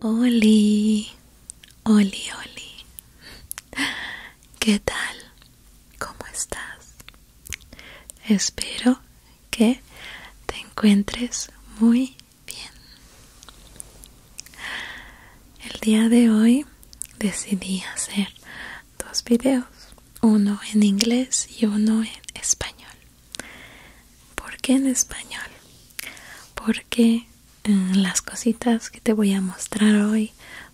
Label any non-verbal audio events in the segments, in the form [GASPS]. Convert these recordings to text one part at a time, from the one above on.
Oli, Oli, Oli. ¿Qué tal? ¿Cómo estás? Espero que te encuentres muy bien. El día de hoy decidí hacer dos videos, uno en inglés y uno en español. ¿Por qué en español? Porque eh, las cositas que te voy a mostrar hoy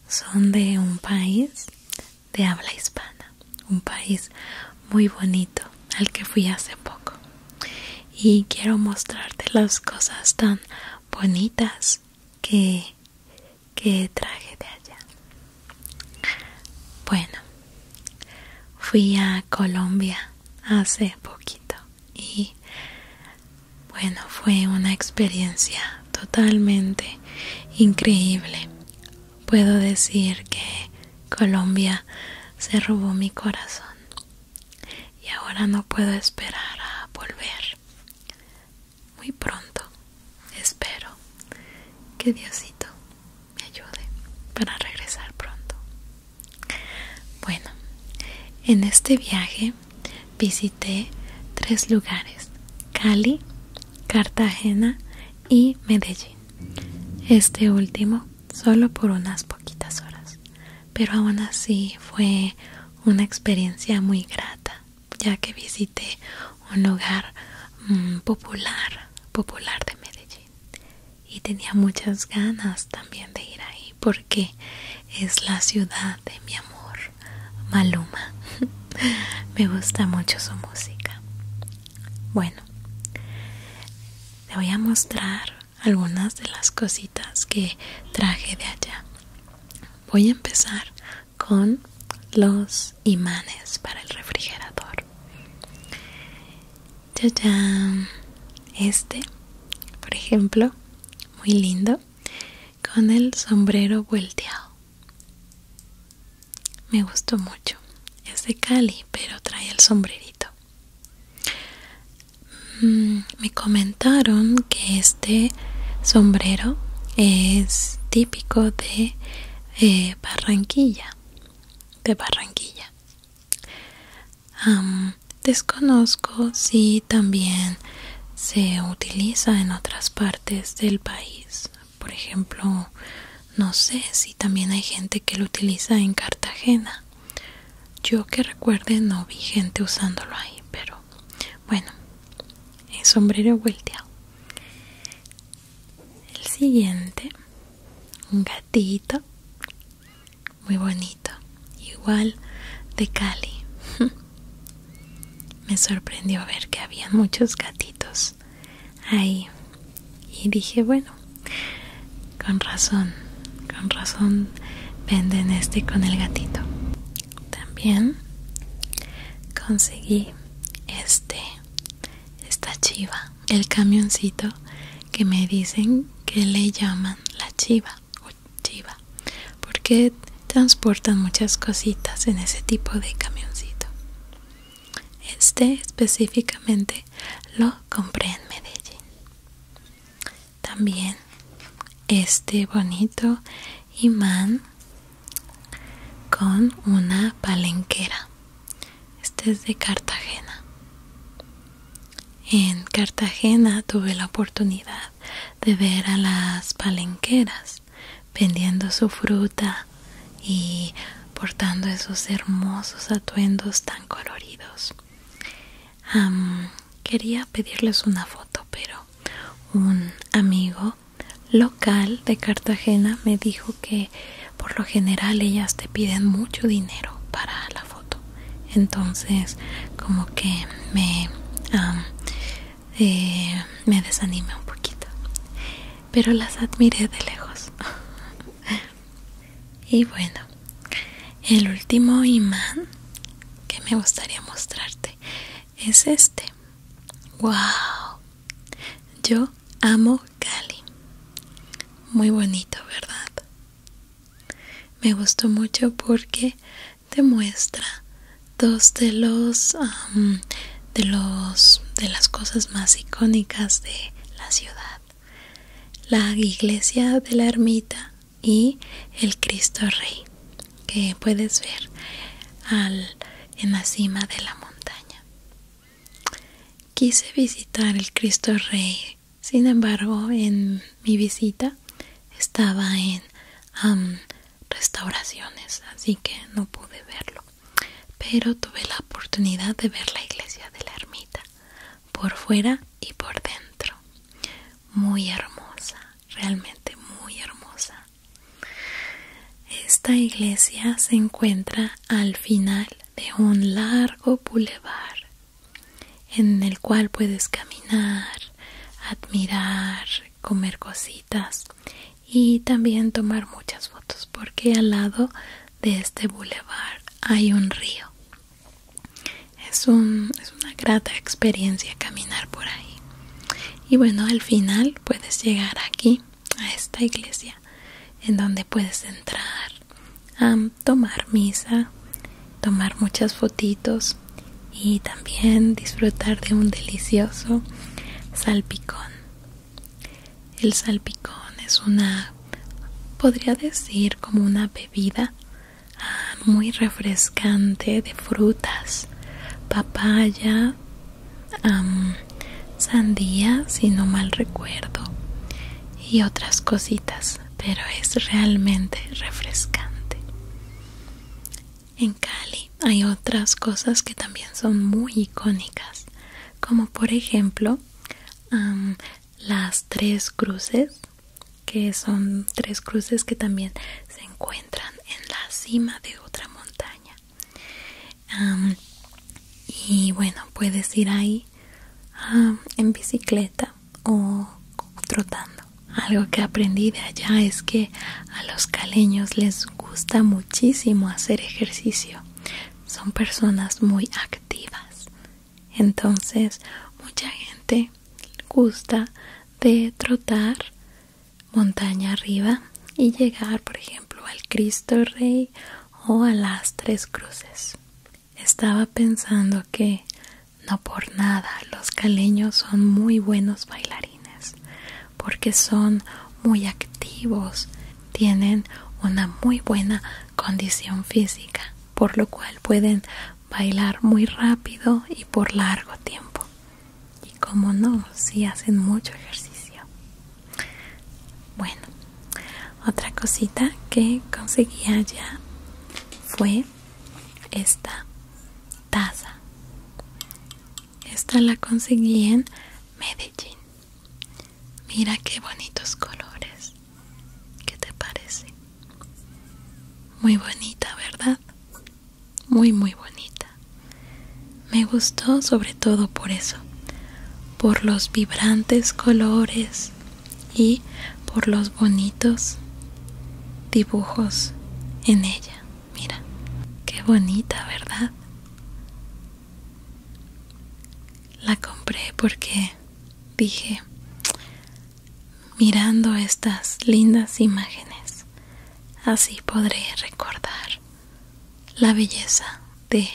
son de un país de habla hispana, un país muy bonito al que fui hace poco. Y quiero mostrarte las cosas tan bonitas que, que traje de allá. Bueno, fui a Colombia hace poquito y bueno, fue una experiencia totalmente increíble. Puedo decir que Colombia se robó mi corazón y ahora no puedo esperar a volver muy pronto. Espero que Diosito me ayude para regresar pronto. Bueno, en este viaje visité tres lugares, Cali, Cartagena y Medellín. Este último solo por unas poquitas horas, pero aún así fue una experiencia muy grata ya que visité un hogar mm, popular, popular de Medellín y tenía muchas ganas también de ir ahí porque es la ciudad de mi amor, Maluma. [LAUGHS] Me gusta mucho su música. Bueno, te voy a mostrar algunas de las cositas que traje de allá voy a empezar con los imanes para el refrigerador. ya Este, por ejemplo, muy lindo, con el sombrero volteado. Me gustó mucho. Es de Cali, pero trae el sombrerito. Mm, me comentaron que este sombrero es típico de eh, Barranquilla de Barranquilla desconozco si también se utiliza en otras partes del país por ejemplo no sé si también hay gente que lo utiliza en Cartagena yo que recuerde no vi gente usándolo ahí pero bueno, el sombrero volteado. El siguiente, un gatito muy bonito, igual de Cali. [LAUGHS] Me sorprendió ver que había muchos gatitos ahí. Y dije, bueno, con razón, con razón venden este con el gatito también conseguí este esta chiva el camioncito que me dicen que le llaman la chiva o chiva porque transportan muchas cositas en ese tipo de camioncito este específicamente lo compré en Medellín también este bonito imán con una palenquera. Este es de Cartagena. En Cartagena tuve la oportunidad de ver a las palenqueras vendiendo su fruta y portando esos hermosos atuendos tan coloridos. quería pedirles una foto, pero un amigo local de Cartagena me dijo que por lo general ellas te piden mucho dinero para la foto entonces como que me eh, me un poquito pero las admiré de lejos [LAUGHS] y bueno el último imán que me gustaría mostrarte es este. ¡Wow! Yo amo Cali. Muy bonito, ¿verdad? Me gustó mucho porque te muestra dos de los de los de las cosas más icónicas de la ciudad. La iglesia de la ermita y el Cristo Rey que puedes ver en la cima de la montaña. Quise visitar el Cristo Rey, sin embargo, en mi visita estaba en restauraciones, así que no pude verlo. Pero tuve la oportunidad de ver la iglesia de la ermita, por fuera y por dentro. Muy hermosa realmente muy hermosa. Esta iglesia se encuentra al final de un largo bulevar en el cual puedes caminar, admirar, comer cositas y también tomar muchas fotos porque al lado de este bulevar hay un río es, es una grata experiencia caminar por ahí y bueno al final puedes llegar aquí a esta iglesia en donde puedes entrar a tomar misa tomar muchas fotitos y también disfrutar de un delicioso salpicón el salpicón es una podría decir como una bebida muy refrescante de frutas papaya sandía si no mal recuerdo y otras cositas pero es realmente refrescante en Cali hay otras cosas que también son muy icónicas como por ejemplo las tres cruces que son tres cruces que también se encuentran en la cima de otra montaña y bueno puedes ir ahí en bicicleta o trotando algo que aprendí de allá es que a los caleños les gusta muchísimo hacer ejercicio son personas muy activas entonces mucha gente gusta de trotar montaña arriba y llegar por ejemplo al Cristo Rey o a las Tres Cruces. Estaba pensando que no por nada los caleños son muy buenos bailarines porque son muy activos, tienen una muy buena condición física, por lo cual pueden bailar muy rápido y por largo tiempo. Y como no, si hacen mucho ejercicio. Bueno, otra cosita que conseguía ya fue esta taza. Esta la conseguí en Medellín. Mira qué bonitos colores. ¿Qué te parece? Muy bonita, ¿verdad? muy muy bonita. Me gustó sobre todo por eso, por los vibrantes colores y por los bonitos dibujos en ella. Mira, qué bonita, ¿verdad? La compré porque dije, mirando estas lindas imágenes. Así podré recordar la belleza de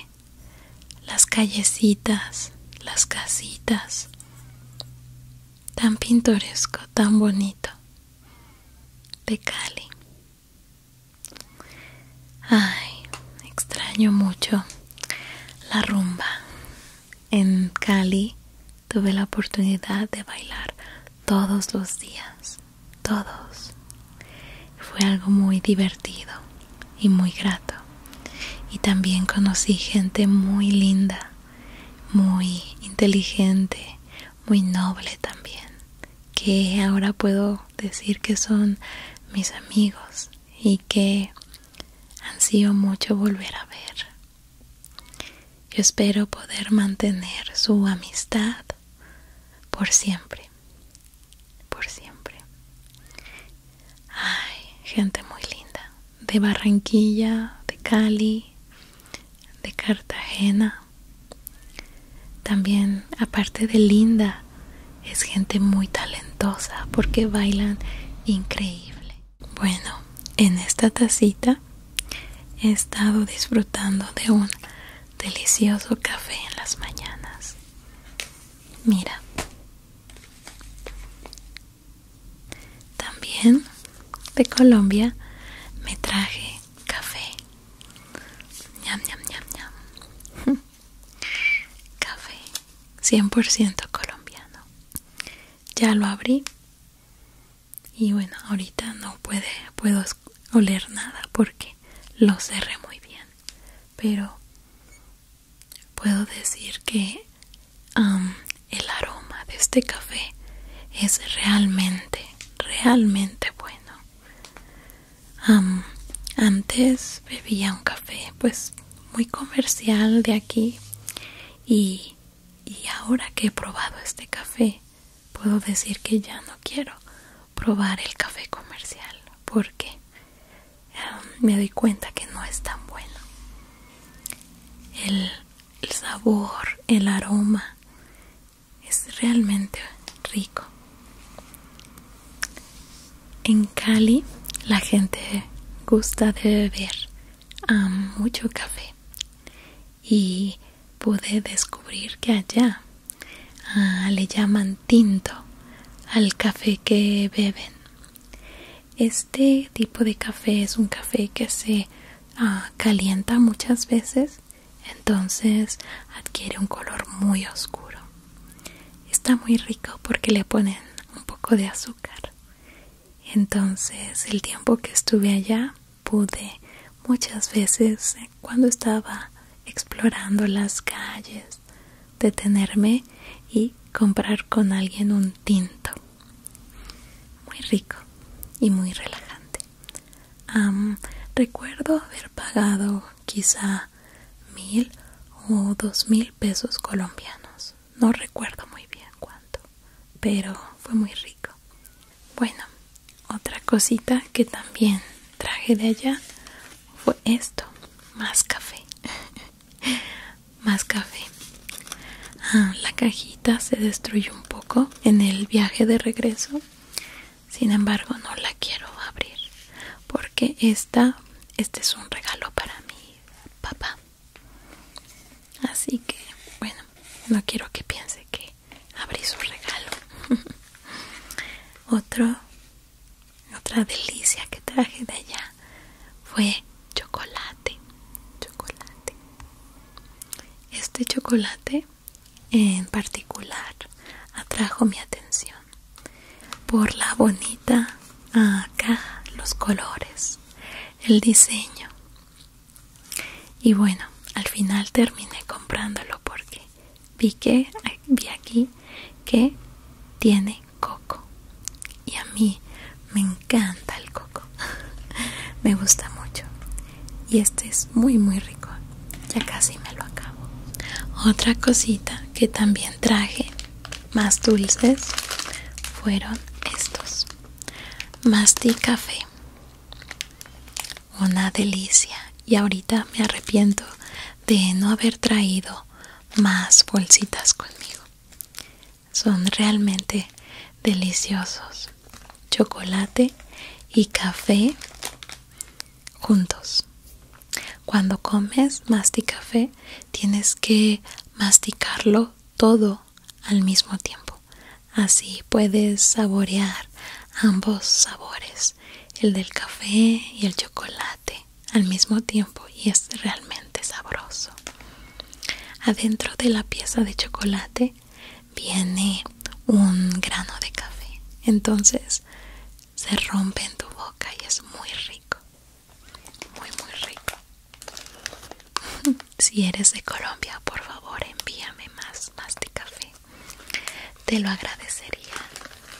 las callecitas, las casitas, tan pintoresco, tan bonito, de Cali. Ay, extraño mucho la rumba. En Cali tuve la oportunidad de bailar todos los días, todos. Fue algo muy divertido y muy grato. Y también conocí gente muy linda, muy inteligente, muy noble también, que ahora puedo decir que son mis amigos y que han sido mucho volver a ver. Yo espero poder mantener su amistad por siempre, por siempre. Ay, gente muy linda, de Barranquilla, de Cali, de Cartagena. También, aparte de linda, es gente muy talentosa porque bailan increíble. Bueno, en esta tacita he estado disfrutando de un delicioso café en las mañanas. Mira. También de Colombia me traje café. Ñam, ñam, ñam, ñam. [LAUGHS] Café 100% colombiano. Ya lo abrí y bueno ahorita no puedo oler nada porque lo cerré muy bien pero puedo decir que el aroma de este café es realmente realmente bueno antes bebía un café pues muy comercial de aquí y y ahora que he probado este café, puedo decir que ya no quiero probar el café comercial porque em, me doy cuenta que no es tan bueno. el sabor, el aroma es realmente rico. En Cali la gente gusta de beber a mucho café y pude descubrir que allá ah, le llaman tinto al café que beben. Este tipo de café es un café que se ah, calienta muchas veces, entonces adquiere un color muy oscuro. Está muy rico porque le ponen un poco de azúcar entonces el tiempo que estuve allá pude muchas veces cuando estaba explorando las calles detenerme y comprar con alguien un tinto muy rico y muy relajante. recuerdo haber pagado quizá mil o dos mil pesos colombianos no recuerdo muy bien cuánto, pero fue muy rico. Bueno, otra cosita que también traje de allá fue esto, más café. [LAUGHS] más café. Ah, la cajita se destruyó un poco en el viaje de regreso. Sin embargo, no la quiero abrir porque esta este es un regalo para mi papá. Así que, bueno, no quiero que piense que abrí su regalo. [LAUGHS] Otro, otra delicia que traje de allá fue chocolate. Chocolate. Este chocolate en particular atrajo mi atención por la bonita acá los colores, el diseño y bueno al final terminé comprándolo porque vi que vi aquí que tiene coco y a mí me encanta el coco [LAUGHS] me gusta mucho y este es muy muy rico ya casi me lo acabo otra cosita que también traje más dulces fueron estos Masti café. Una delicia. Y ahorita me arrepiento de no haber traído más bolsitas conmigo. Son realmente deliciosos. Chocolate y café juntos. Cuando comes masti café, tienes que masticarlo todo al mismo tiempo. Así puedes saborear ambos sabores, el del café y el chocolate, al mismo tiempo y es realmente sabroso. Adentro de la pieza de chocolate viene un grano de café, entonces se rompe en tu boca y es muy rico muy muy rico [LAUGHS] si eres de Colombia por favor envíame más más de café te lo agradecería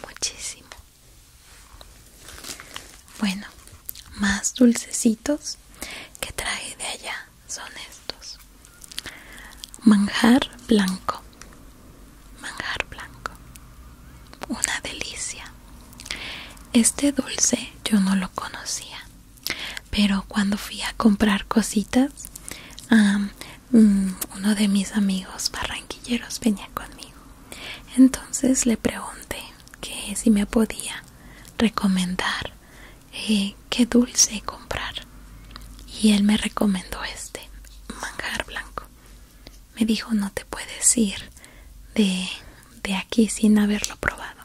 muchísimo bueno más dulcecitos que trae de allá son estos manjar blanco manjar blanco una delicia este dulce yo no lo conocía, pero cuando fui a comprar cositas, mm, uno de mis amigos barranquilleros venía conmigo. Entonces le pregunté que si me podía recomendar eh, qué dulce comprar. Y él me recomendó este, manjar blanco. Me dijo, no te puedes ir de de aquí sin haberlo probado.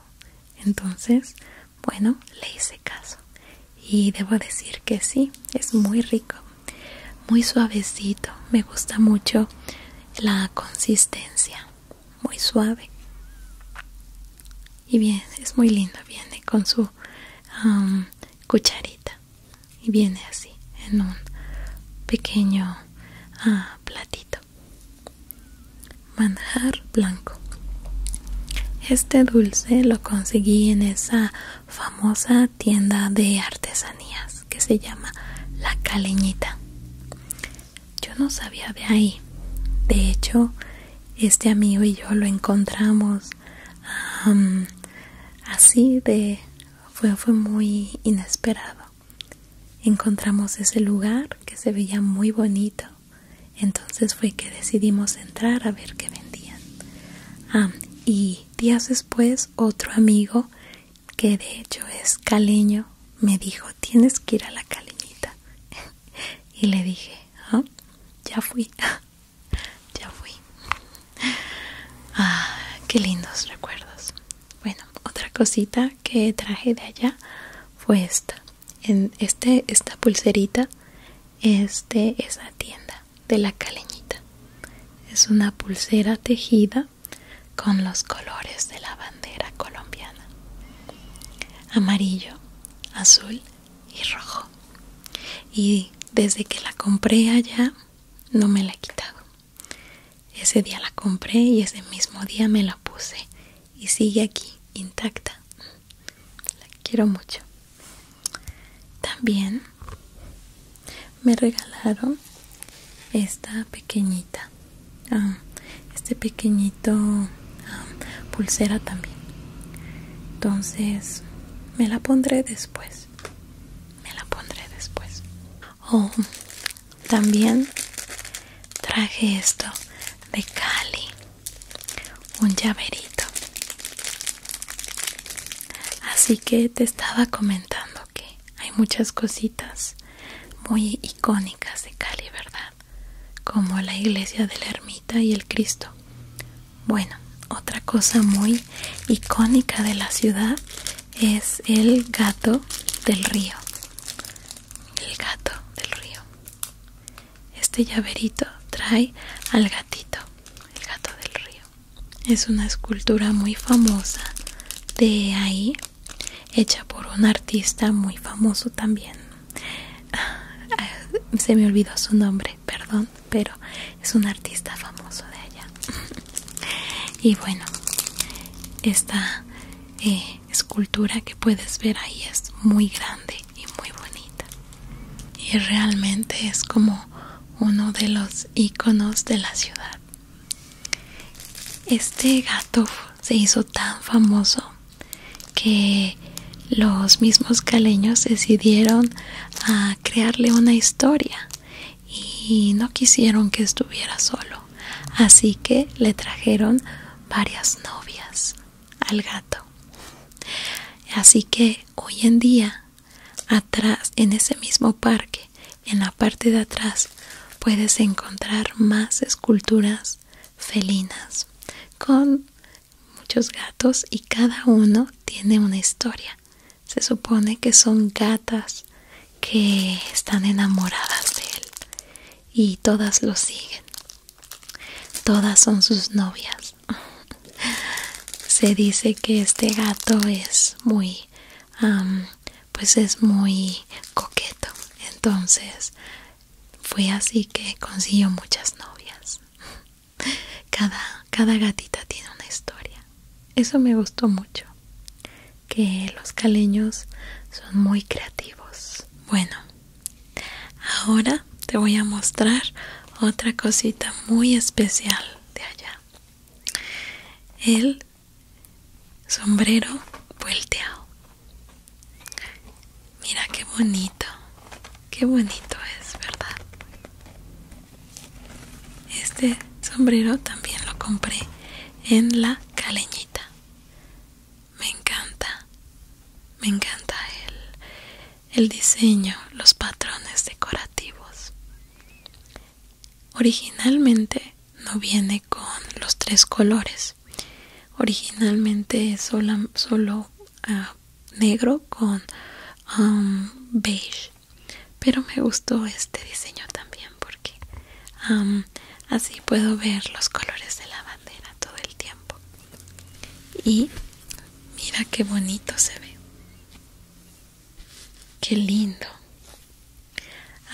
Entonces, bueno, le hice caso. Y debo decir que sí, es muy rico, muy suavecito. Me gusta mucho la consistencia, muy suave. Y bien, es muy lindo. Viene con su cucharita. Y viene así, en un pequeño ah, platito. Manjar blanco. Este dulce lo conseguí en esa famosa tienda de artesanías que se llama La Caleñita. Yo no sabía de ahí. De hecho, este amigo y yo lo encontramos así de... fue muy inesperado encontramos ese lugar que se veía muy bonito entonces fue que decidimos entrar a ver qué vendían ah, y días después otro amigo que de hecho es caleño me dijo tienes que ir a la caleñita [LAUGHS] y le dije ah, ya fui [LAUGHS] ya fui ah, qué lindos recuerdos bueno, otra cosita que traje de allá fue esta. En este, esta pulserita es de esa tienda de la caleñita. Es una pulsera tejida con los colores de la bandera colombiana. Amarillo, azul y rojo. Y desde que la compré allá no me la he quitado. Ese día la compré y ese mismo día me la puse y sigue aquí intacta. La quiero mucho. También me regalaron esta pequeñita, ah, este pequeñito ah, pulsera también. Entonces me la pondré después. Me la pondré después. Oh, también traje esto de Cali un llaverito así que te estaba comentando que hay muchas cositas muy icónicas de Cali verdad como la iglesia de la ermita y el cristo bueno otra cosa muy icónica de la ciudad es el gato del río. El gato del río. Este llaverito trae al gatito, el gato del río. Es una escultura muy famosa de ahí, hecha por un artista muy famoso también. Ah, se me olvidó su nombre, perdón, pero es un artista famoso de allá. [LAUGHS] Y bueno, está eh, escultura que puedes ver ahí es muy grande y muy bonita y realmente es como uno de los iconos de la ciudad este gato se hizo tan famoso que los mismos caleños decidieron a crearle una historia y no quisieron que estuviera solo, así que le trajeron varias novias al gato. Así que hoy en día, atrás, en ese mismo parque, en la parte de atrás, puedes encontrar más esculturas felinas con muchos gatos y cada uno tiene una historia. Se supone que son gatas que están enamoradas de él y todas lo siguen. Todas son sus novias. [LAUGHS] Se dice que este gato es muy, pues es muy coqueto. Entonces fue así que consiguió muchas novias. [LAUGHS] cada gatita tiene una historia. Eso me gustó mucho, que los caleños son muy creativos. Bueno, ahora te voy a mostrar otra cosita muy especial de allá. El sombrero volteado. Mira qué bonito, qué bonito es, ¿verdad? Este sombrero también lo compré en la caleñita. Me encanta, me encanta el, el diseño, los patrones decorativos. Originalmente no viene con los tres colores. Originalmente solo, ah, negro con um, beige pero me gustó este diseño también porque así puedo ver los colores de la bandera todo el tiempo y mira qué bonito se ve qué lindo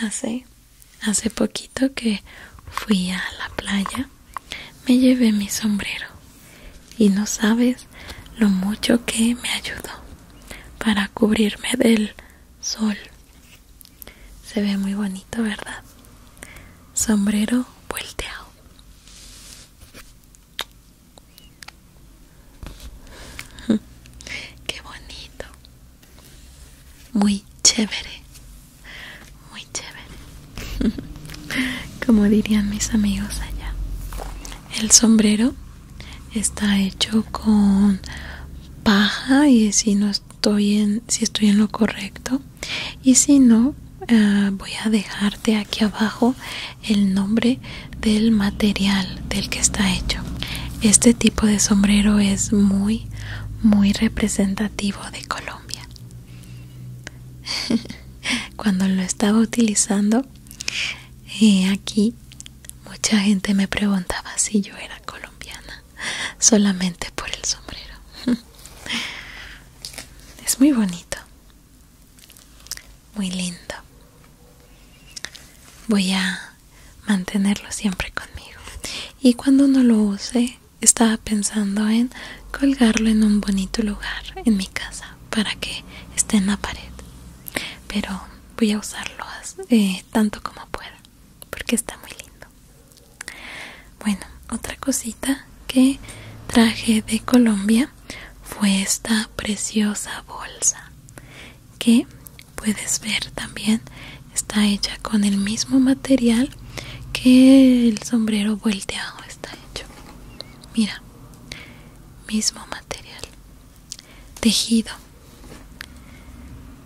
hace hace poquito que fui a la playa me llevé mi sombrero y no sabes lo mucho que me ayudó para cubrirme del sol se ve muy bonito, ¿verdad? Sombrero volteado. [LAUGHS] Qué bonito. Muy chévere. Muy chévere. [LAUGHS] Como dirían mis amigos allá. El sombrero está hecho con paja y si no estoy en si estoy en lo correcto y si no eh, voy a dejarte aquí abajo el nombre del material del que está hecho este tipo de sombrero es muy muy representativo de Colombia [LAUGHS] cuando lo estaba utilizando eh, aquí mucha gente me preguntaba si yo era colombiana solamente por el sombrero. [LAUGHS] Es muy bonito. Muy lindo. Voy a mantenerlo siempre conmigo. Y cuando no lo use, estaba pensando en colgarlo en un bonito lugar en mi casa para que esté en la pared. Pero voy a usarlo eh, tanto como pueda porque está muy lindo bueno otra cosita que traje de Colombia fue esta preciosa bolsa que puedes ver también está hecha con el mismo material que el sombrero volteado está hecho mira mismo material tejido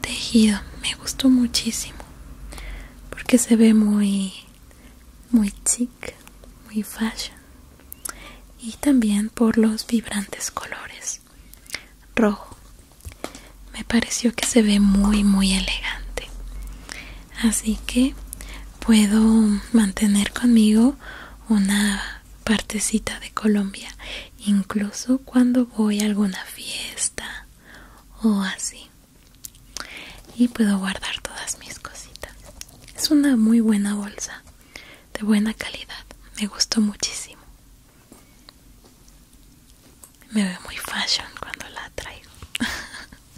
tejido me gustó muchísimo porque se ve muy muy chic muy fashion y también por los vibrantes colores rojo me pareció que se ve muy muy elegante así que puedo mantener conmigo una partecita de Colombia incluso cuando voy a alguna fiesta o así y puedo guardar todas mis cositas es una muy buena bolsa de buena calidad me gustó muchísimo me ve muy fashion cuando la traigo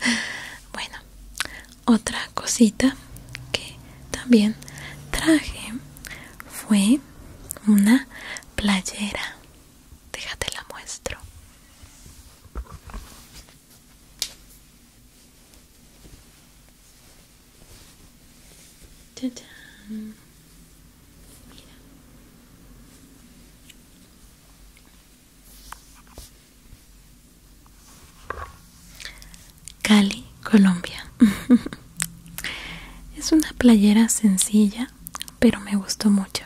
[LAUGHS] bueno otra cosita que también traje fue una playera. Déjate la muestro. Cali, Colombia. [LAUGHS] Es una playera sencilla, pero me gustó mucho.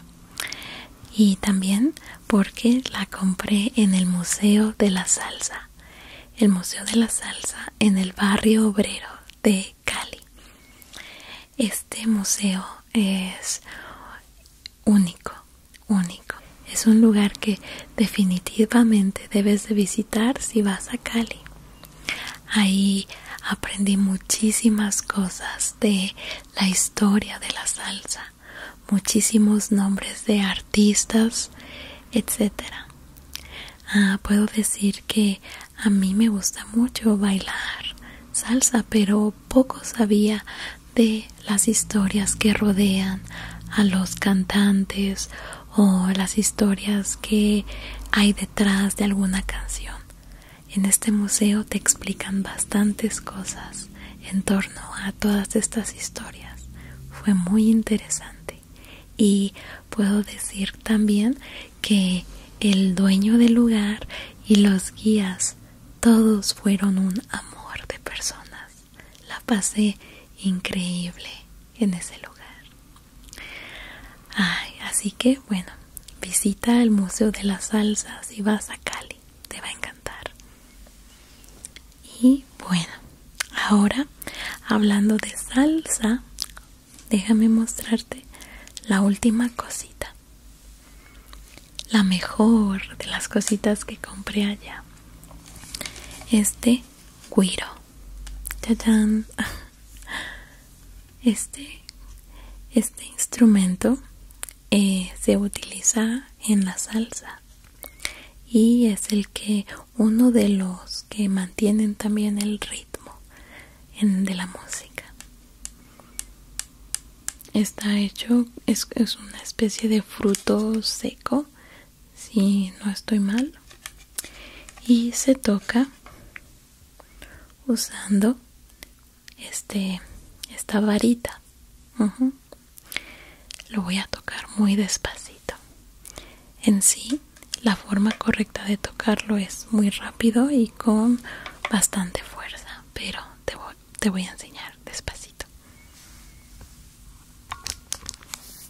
Y también porque la compré en el Museo de la Salsa. El Museo de la Salsa en el barrio obrero de Cali. Este museo es único, único. Es un lugar que definitivamente debes de visitar si vas a Cali. Ahí aprendí muchísimas cosas de la historia de la salsa, muchísimos nombres de artistas, etcétera. Ah, puedo decir que a mí me gusta mucho bailar salsa, pero poco sabía de las historias que rodean a los cantantes o las historias que hay detrás de alguna canción. En este museo te explican bastantes cosas en torno a todas estas historias. Fue muy interesante. Y puedo decir también que el dueño del lugar y los guías todos fueron un amor de personas. La pasé increíble en ese lugar así que bueno, visita el Museo de las Salsas y vas a Cali, te va a encantar. Y bueno, ahora hablando de salsa, déjame mostrarte la última cosita. La mejor de las cositas que compré allá. Este cuiro. [LAUGHS] Este, este, instrumento eh, se utiliza en la salsa y es el que uno de los que mantienen también el ritmo de la música. Está hecho, es una especie de fruto seco, si no estoy mal y se toca usando este esta varita lo voy a tocar muy despacito en sí la forma correcta de tocarlo es muy rápido y con bastante fuerza pero te voy a enseñar despacito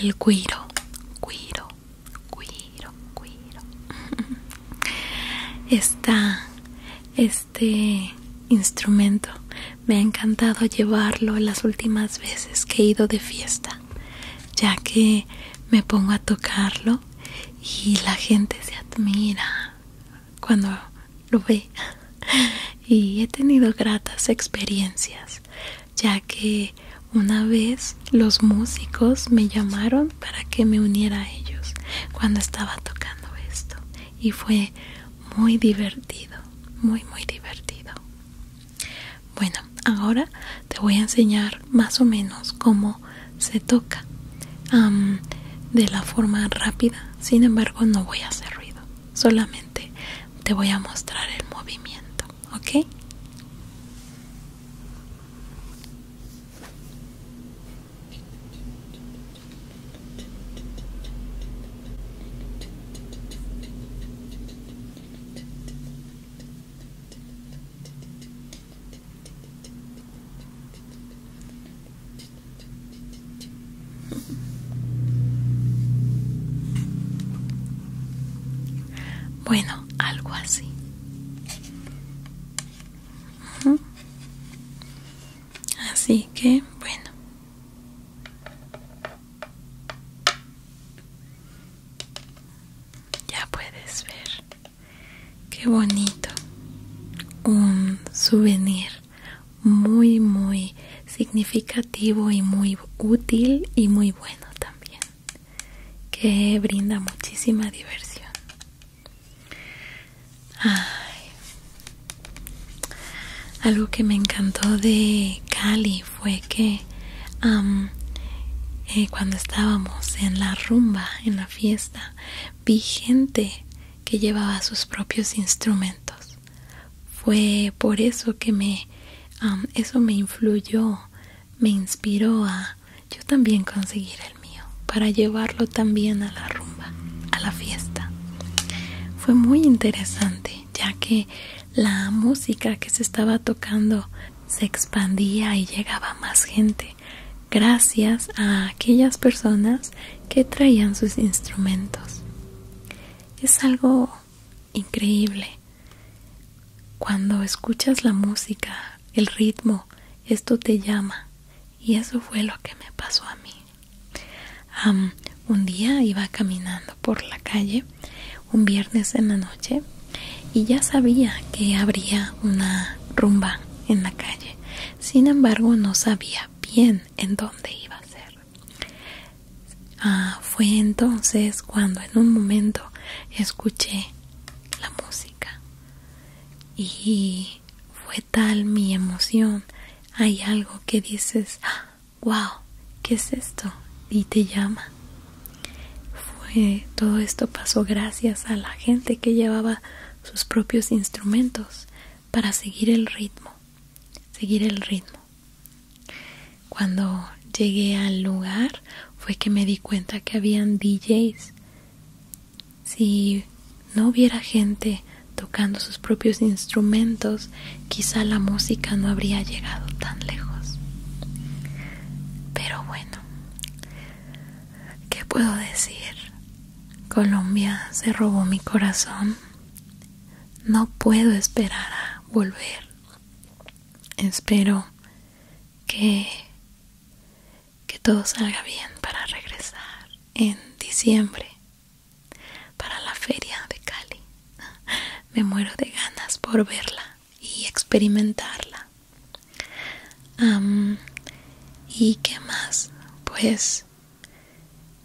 El cuiro, cuiro, cuiro, cuiro. [LAUGHS] Está este instrumento me ha encantado llevarlo las últimas veces que he ido de fiesta, ya que me pongo a tocarlo y la gente se admira cuando lo ve. [LAUGHS] Y he tenido gratas experiencias, ya que una vez los músicos me llamaron para que me uniera a ellos cuando estaba tocando esto. Y fue muy divertido, muy, muy divertido. Bueno, ahora te voy a enseñar más o menos cómo se toca de la forma rápida. Sin embargo, no voy a hacer ruido, solamente te voy a mostrar el movimiento, ¿ok? Bueno, algo así. Así que, bueno. Ya puedes ver qué bonito. Un souvenir muy, muy significativo y muy útil y muy bueno también. Que brinda muchísima diversión. Algo que me encantó de Cali fue que eh, cuando estábamos en la rumba, en la fiesta, vi gente que llevaba sus propios instrumentos. Fue por eso que me eso me influyó, me inspiró a yo también conseguir el mío para llevarlo también a la rumba, a la fiesta. Fue muy interesante, ya que la música que se estaba tocando se expandía y llegaba más gente gracias a aquellas personas que traían sus instrumentos. Es algo increíble. Cuando escuchas la música, el ritmo, esto te llama. Y eso fue lo que me pasó a mí un día iba caminando por la calle un viernes en la noche y ya sabía que habría una rumba en la calle sin embargo no sabía bien en dónde iba a ser ah, fue entonces cuando en un momento escuché la música y fue tal mi emoción hay algo que dices ah, wow, ¿qué es esto? Y te llama. Fue, todo esto pasó gracias a la gente que llevaba sus propios instrumentos para seguir el ritmo, seguir el ritmo. Cuando llegué al lugar fue que me di cuenta que habían DJs. Si no hubiera gente tocando sus propios instrumentos, quizá la música no habría llegado tan lejos. Pero bueno, ¿qué puedo decir? Colombia se robó mi corazón. No puedo esperar a volver. Espero que, que todo salga bien para regresar en diciembre para la feria de Cali. [LAUGHS] Me muero de ganas por verla y experimentarla. ¿Y qué más? Pues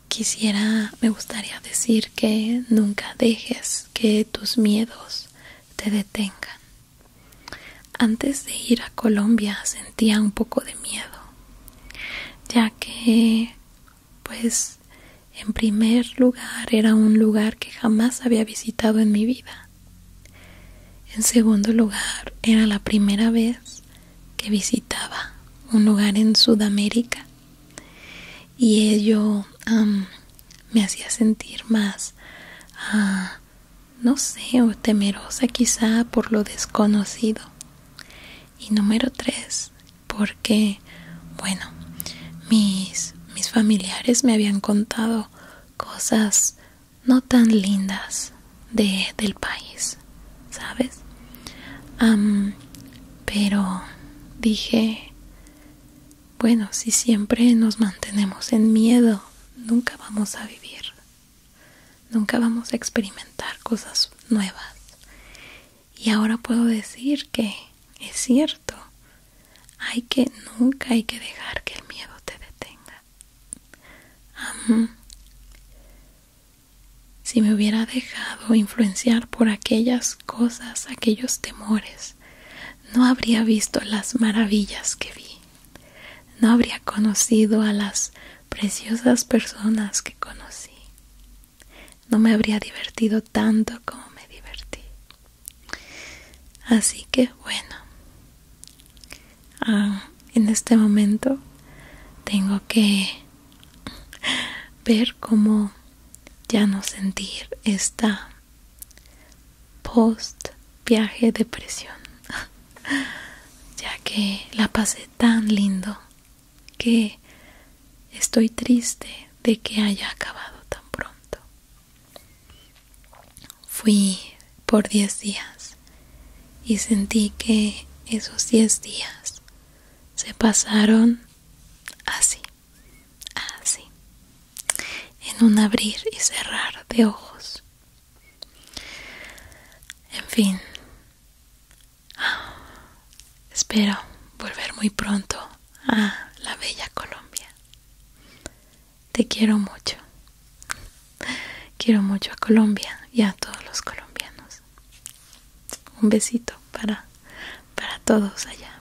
quisiera, me gustaría decir que nunca dejes que tus miedos te detengan. Antes de ir a Colombia sentía un poco de miedo, ya que pues en primer lugar era un lugar que jamás había visitado en mi vida. En segundo lugar era la primera vez que visitaba un lugar en Sudamérica y ello me hacía sentir más, ah, no sé, temerosa quizá por lo desconocido. Y número tres, porque bueno mis familiares me habían contado cosas no tan lindas de, del país sabes pero dije bueno si siempre nos mantenemos en miedo nunca vamos a vivir nunca vamos a experimentar cosas nuevas y ahora puedo decir que es cierto. Hay que nunca hay que dejar que el miedo te detenga. si me hubiera dejado influenciar por aquellas cosas, aquellos temores, no habría visto las maravillas que vi. No habría conocido a las preciosas personas que conocí. No me habría divertido tanto como me divertí. Así que bueno, ah, en este momento tengo que ver cómo ya no sentir esta post viaje depresión [LAUGHS] ya que la pasé tan lindo que estoy triste de que haya acabado tan pronto. Fui por diez días y sentí que esos diez días se pasaron así, así, en un abrir y cerrar de ojos. En fin, [GASPS] Espero volver muy pronto a ah. la bella Colombia. Te quiero mucho. Quiero mucho a Colombia y a todos los colombianos. Un besito para, para todos allá.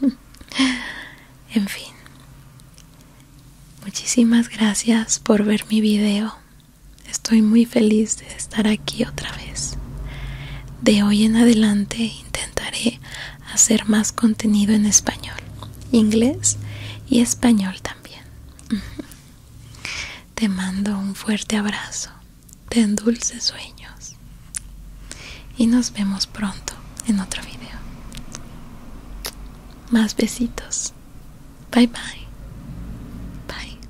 [LAUGHS] en fin. Muchísimas gracias por ver mi video. Estoy muy feliz de estar aquí otra vez. De hoy en adelante intentaré hacer más contenido en español, inglés y español también. Te mando un fuerte abrazo, Ten dulces sueños y nos vemos pronto en otro video. Más besitos. Bye Bye bye.